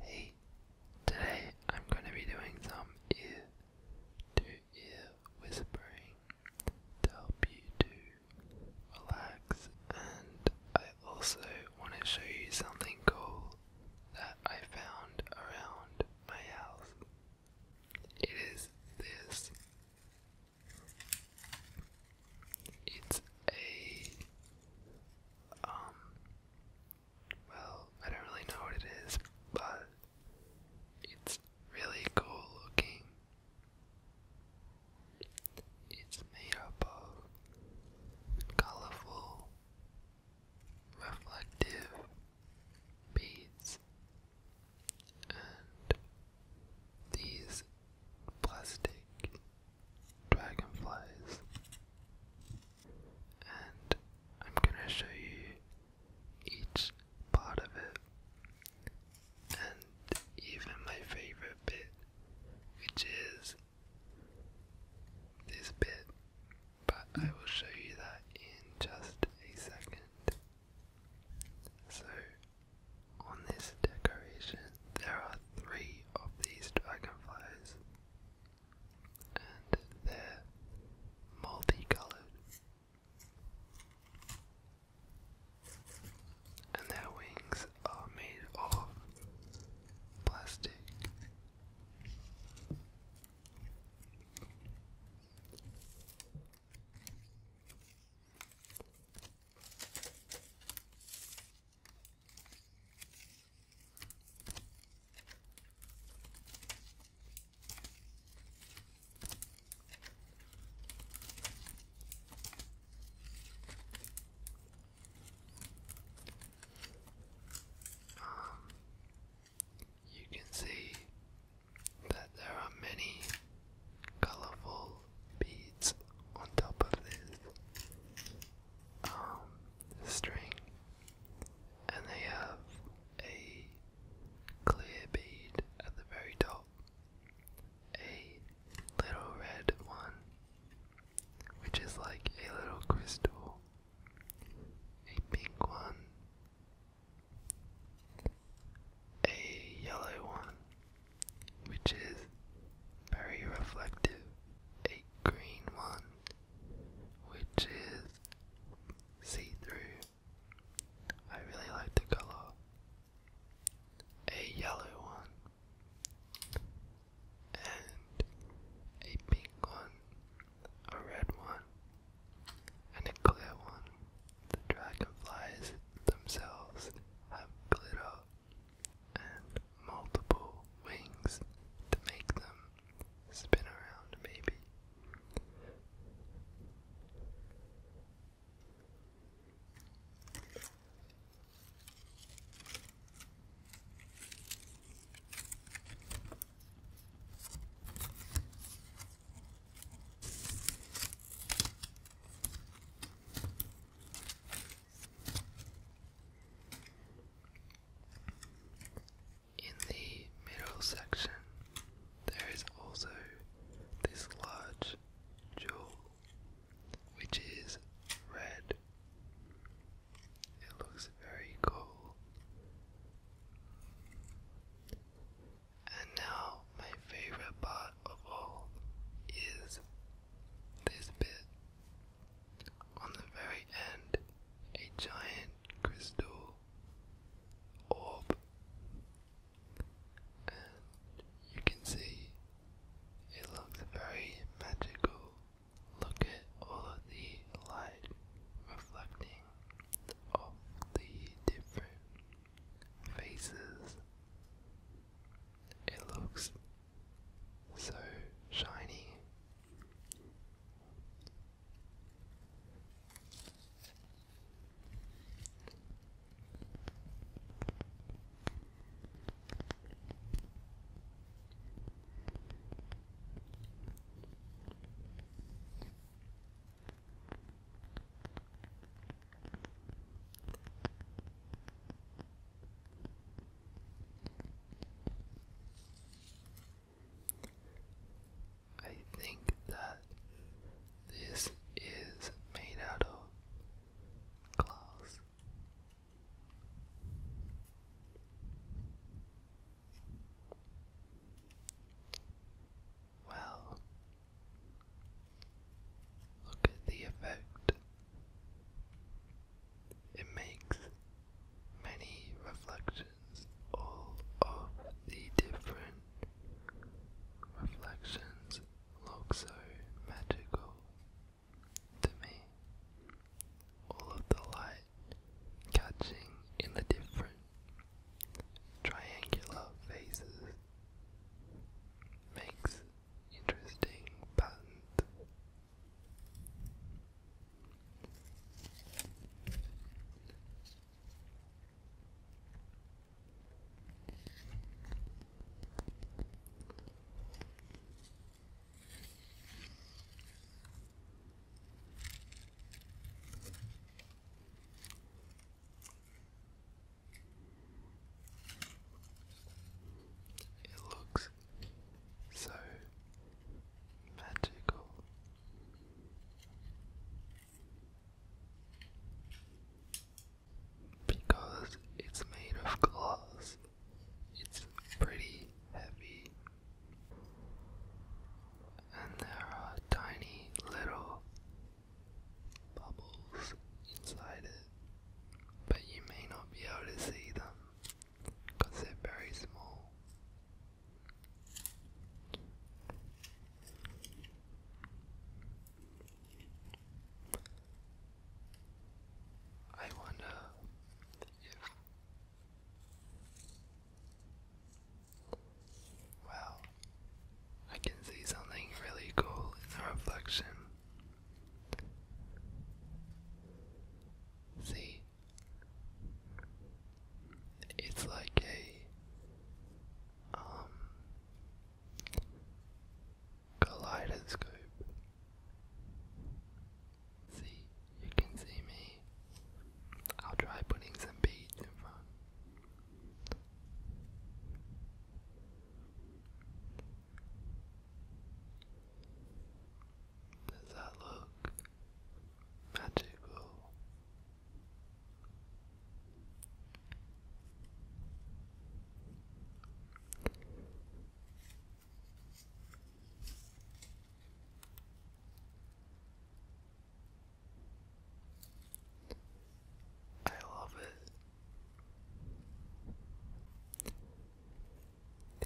Hey, today I'm going to be doing some ear to ear whispering to help you relax. And I also want to show you something cool that I found around my house. It is this. It's a um well, I don't really know what it is, but it's really cool looking. It's made up of colorful, reflective beads, and these plastic dragonflies. And I'm gonna show you each part of it. And even my favorite bit, which is this bit, but I will show you that in just a second. So, on this decoration, there are three of these dragonflies, and they're multicolored. And their wings are made of plastic. Um, you can see that there are many colorful beads on top of this um, string, and they have a clear bead at the very top, a little red one, which is like a little crystal, a pink one. A yellow one which is very reflective. A green one, which is see through. I really like the color. A yellow one, and a pink one, a red one, and a clear one. The dragonflies themselves have glitter and multiple wings to make them spin around, maybe. In the middle section, there is also this large jewel, which is red. It looks very cool. And now, my favorite part of all is this bit. On the very end, a giant crystal orb. And you can see it looks very magical. Look at all of the light reflecting meaning of the different faces. It looks so shiny. I think that this is made out of glass. Well, look at the effect. It makes many reflections, all of the different reflections look so magical to me all of the light catching in the different triangular phases makes interesting patterns. It looks so magical. Because it's made of glass, it's pretty heavy. And there are tiny little bubbles inside it, but you may not be able to see them because they're very small. I wonder if Wow, I can see something really cool in the reflection. See, it's like a um, kaleidoscope. See, you can see me. I'll try putting some beads in front. Does that look magical? I love it.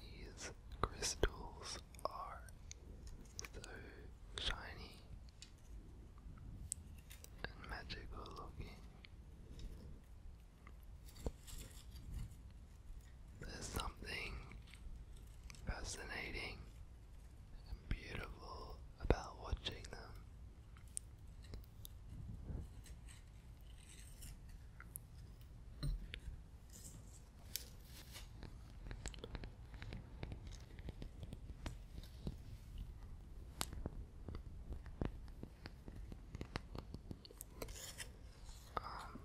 These crystals are so shiny and magical looking. There's something fascinating and beautiful about watching them. Um,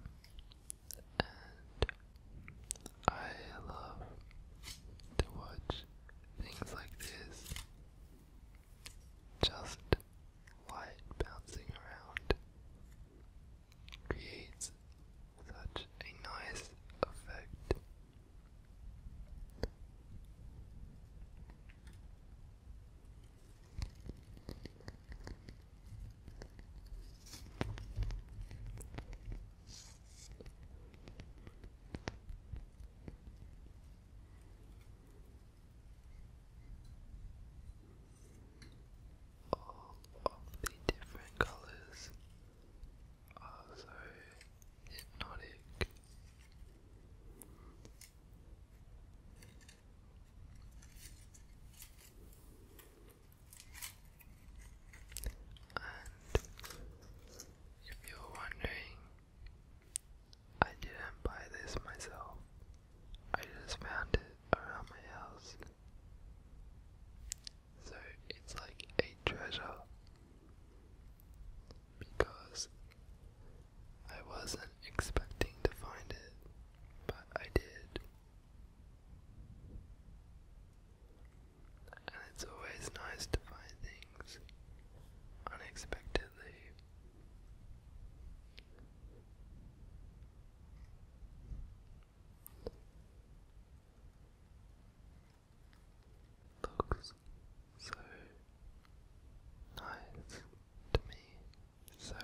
and I love to watch things like this. Just light bouncing around creates such a nice effect. All of the different colors are so hypnotic. And if you're wondering, I didn't buy this myself. I just found it around my house. So it's like a treasure because I wasn't expecting to find it, but I did. And it's always nice to find things unexpectedly looks so nice to me, so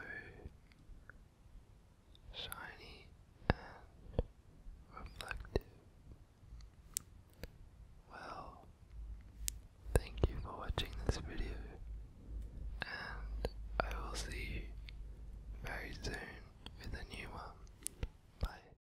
shiny and reflective. Well, thank you for watching this video, and I will see you very soon with a new one. Bye.